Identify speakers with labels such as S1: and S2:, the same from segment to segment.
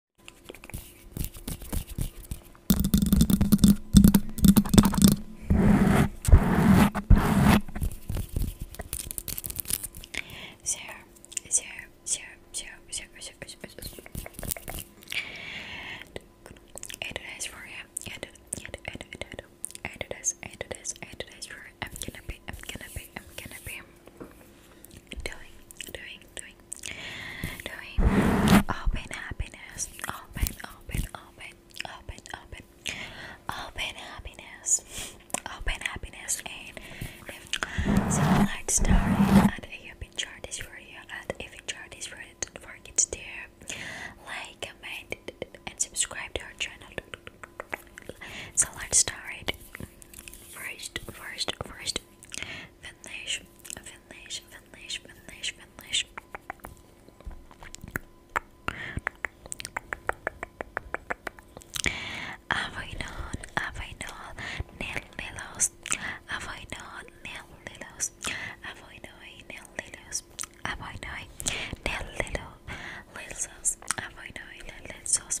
S1: Zero, zero, zero, zero, zero, zero, zero. I do this for you. I do, I do, I do, I do. I do this, I do this, I do this for you. I'm gonna be, I'm gonna be, I'm gonna be doing, doing, doing, doing. Open happiness. Open, open, open, open, open. Open happiness. Open happiness. And if so, let's start And if you've enjoyed this video, and if you enjoyed this video, don't forget to like, comment, and subscribe to our channel. So let's start. First, first, first, Finnish, Finnish, Finnish, Finnish, Finnish. Avoidon, avoidon, nail lilos, avoidon, nail lilos, avoidoi, nail lilos, avoidoi, nail lilo, lil sauce, avoidoi, lil sauce,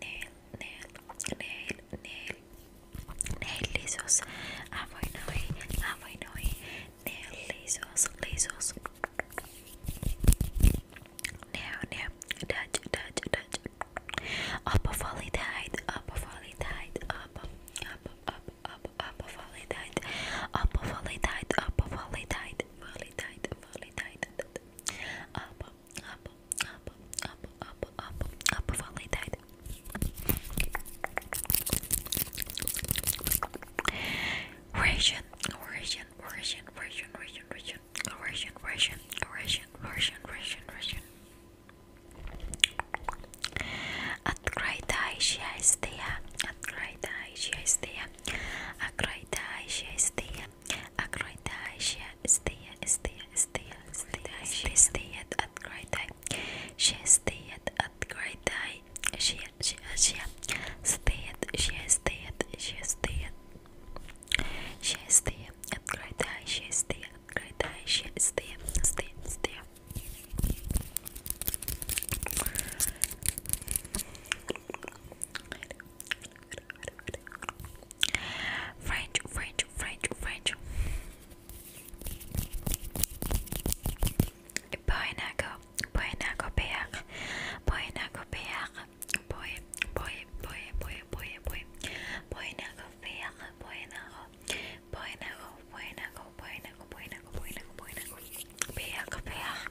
S1: nail, nail, nail, nail, nail lisos. Avoinoi, ah, eh. avoinoi, ah, eh. nail lisos, lisos. Nail, nail, touch, touch, touch. Up, volley tight, up, volley tight, up, up, up, up, up, volley tight, up, volley tight, up, volley tight, volley tight, volley tight, up, up, up, up, up, up, up, like that. Russian, Russian, Russian, Russian, Russian, Russian, Russian, Russian, Russian, Russian, Russian, Russian. Открытая счастье, открытая счастье, открытая счастье, أكرويتاشيا استيا استيا استيا استيا استيت أكرويتاي شي استيت أكرويتاي شيا شيا شيا استيت شيا استيت شيا استيت شيا استيا أكرويتاي شيا استيا أكرويتاي شيا استيا استيا استيا French, French, French, French. Boy nago, boy nago pear, boy nago pear, boy, boy, boy, boy, boy, boy, boy nago pear, boy nago, boy nago, boy nago, boy nago, boy nago, boy nago, boy nago, pear, pear.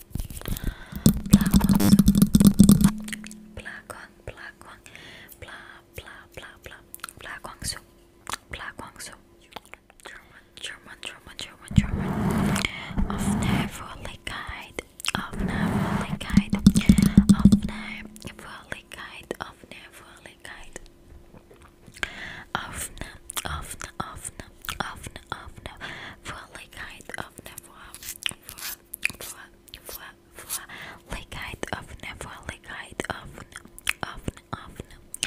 S1: Blah blossom. Blah guang, blah guang. Blah, blah, so, German, German, German, German, German. Of Nevolikite. Of Nevolikite. Of Nevolikite. Of Nevolikite. Afna, afna, afna, afna, afna, for like height afna for for for for for like height afna for like height afna afna afna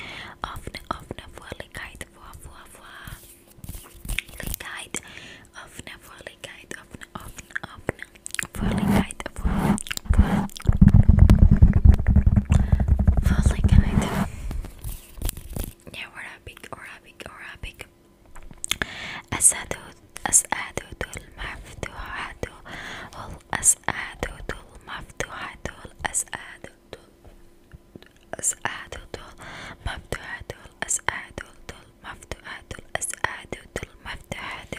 S1: afna afna for like height for for for like height afna for like height afna afna afna for like height for for for like height. يورابك أورابك أورابك أسعدت أسعدت المفتوحة الأسعدت المفتوحة الأسعدت الأسعدت المفتوحة الأسعدت المفتوحة الأسعدت المفتوحة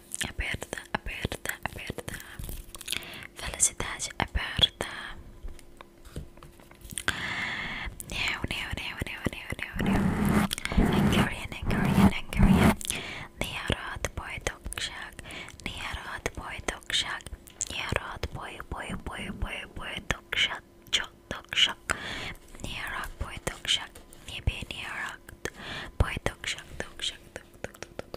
S1: aperta, aperta, aperta. Felicidade aperta. Now, now, now, now, now, now. Hungarian, Hungarian, Hungarian. Niharad boy dog shack. Niharad boy dog shack. Niharad boy, boy, boy, boy, boy dog shack. Chok dog shack. Niharad boy dog shack. Nibi niharad boy dog shack, dog shack, dog, dog,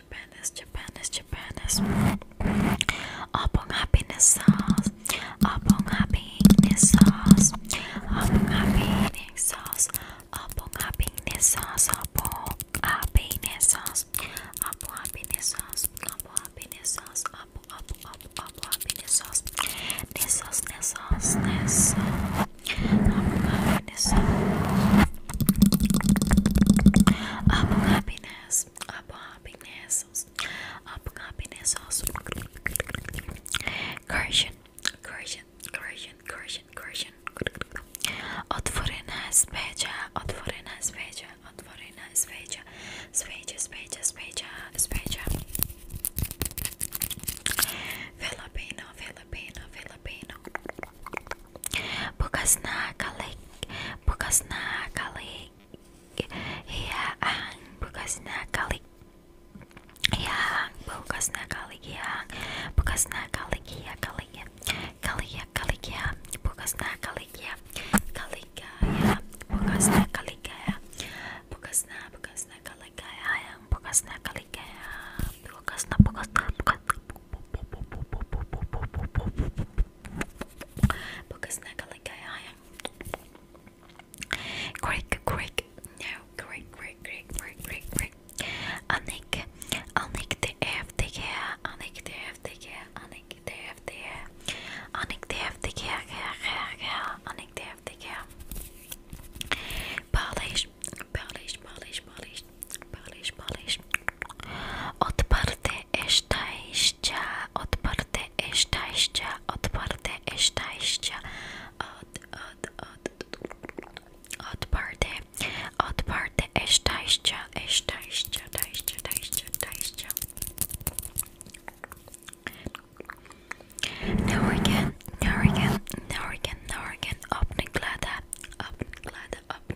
S1: Japanese, Japanese, Japanese. Upon happiness sauce, upon happiness sauce, upon happiness sauce, upon happiness sauce, upon happiness sauce, upon happiness sauce, upon happiness sauce, upon up up up happiness sauce, sauce, sauce, happiness sauce. happiness, nails, apple hopping nails, apple hopping nails, Correction, correction, correction, correction, correction. Otvorena sveća, otvorena sveća, otvorena sveća, sveća, sveća, sveća, sveća. Filipino, Filipino, Filipino. bukas Bukasna kalik, na kalik, hiang, iya, bukasna kalik, hiang, iya, bukasna kalik, hiang, iya, bukasna kalik, hiang, kalik ya, kalik ya, kalik bukas na kalik ya, kalik ya, bukasna kalik ya, bukasna, bukasna kalik ya, hiang, bukasna kalik na bukasna, bukasna, bukasna. Because Greek, Greek, no, Greek, Greek, Greek, Greek, Greek, Greek. Anik, Anik the F the care, Anik the F the care, Anik the F the Anik the F the Anik the F the care. Polish, polish, polish, polish, polish, polish. Odparte szczęścia, odparte szczęścia, odparte szczęścia. Od, od, od, odparte, odparte szczęścia, szczęścia, szczęścia, szczęścia, szczęścia. Norgan, Norgan, Norgan, Norgan, open glada, open glada, open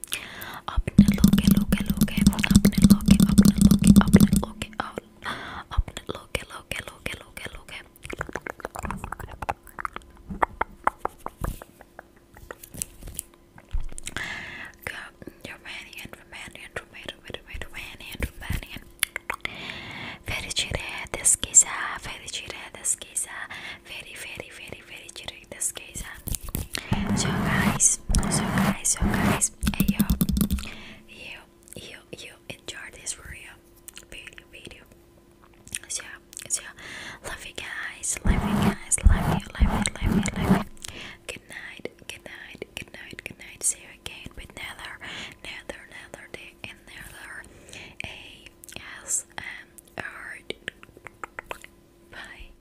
S1: अपने लोगे लोगे लोगे अपने लोगे अपने लोगे अपने लोगे अपने लोगे लोगे लोगे लोगे लोगे Romanian, Romanian, Romanian, Romanian, Romanian. Fericire deschisă, fericire deschisă, feri, feri, feri, fericire doing this case and so guys so guys so guys hey yo you you you enjoyed this video video video so so love you guys love you guys love you love you love you love you good night good night good night good night see you again with another another another day another a s m r bye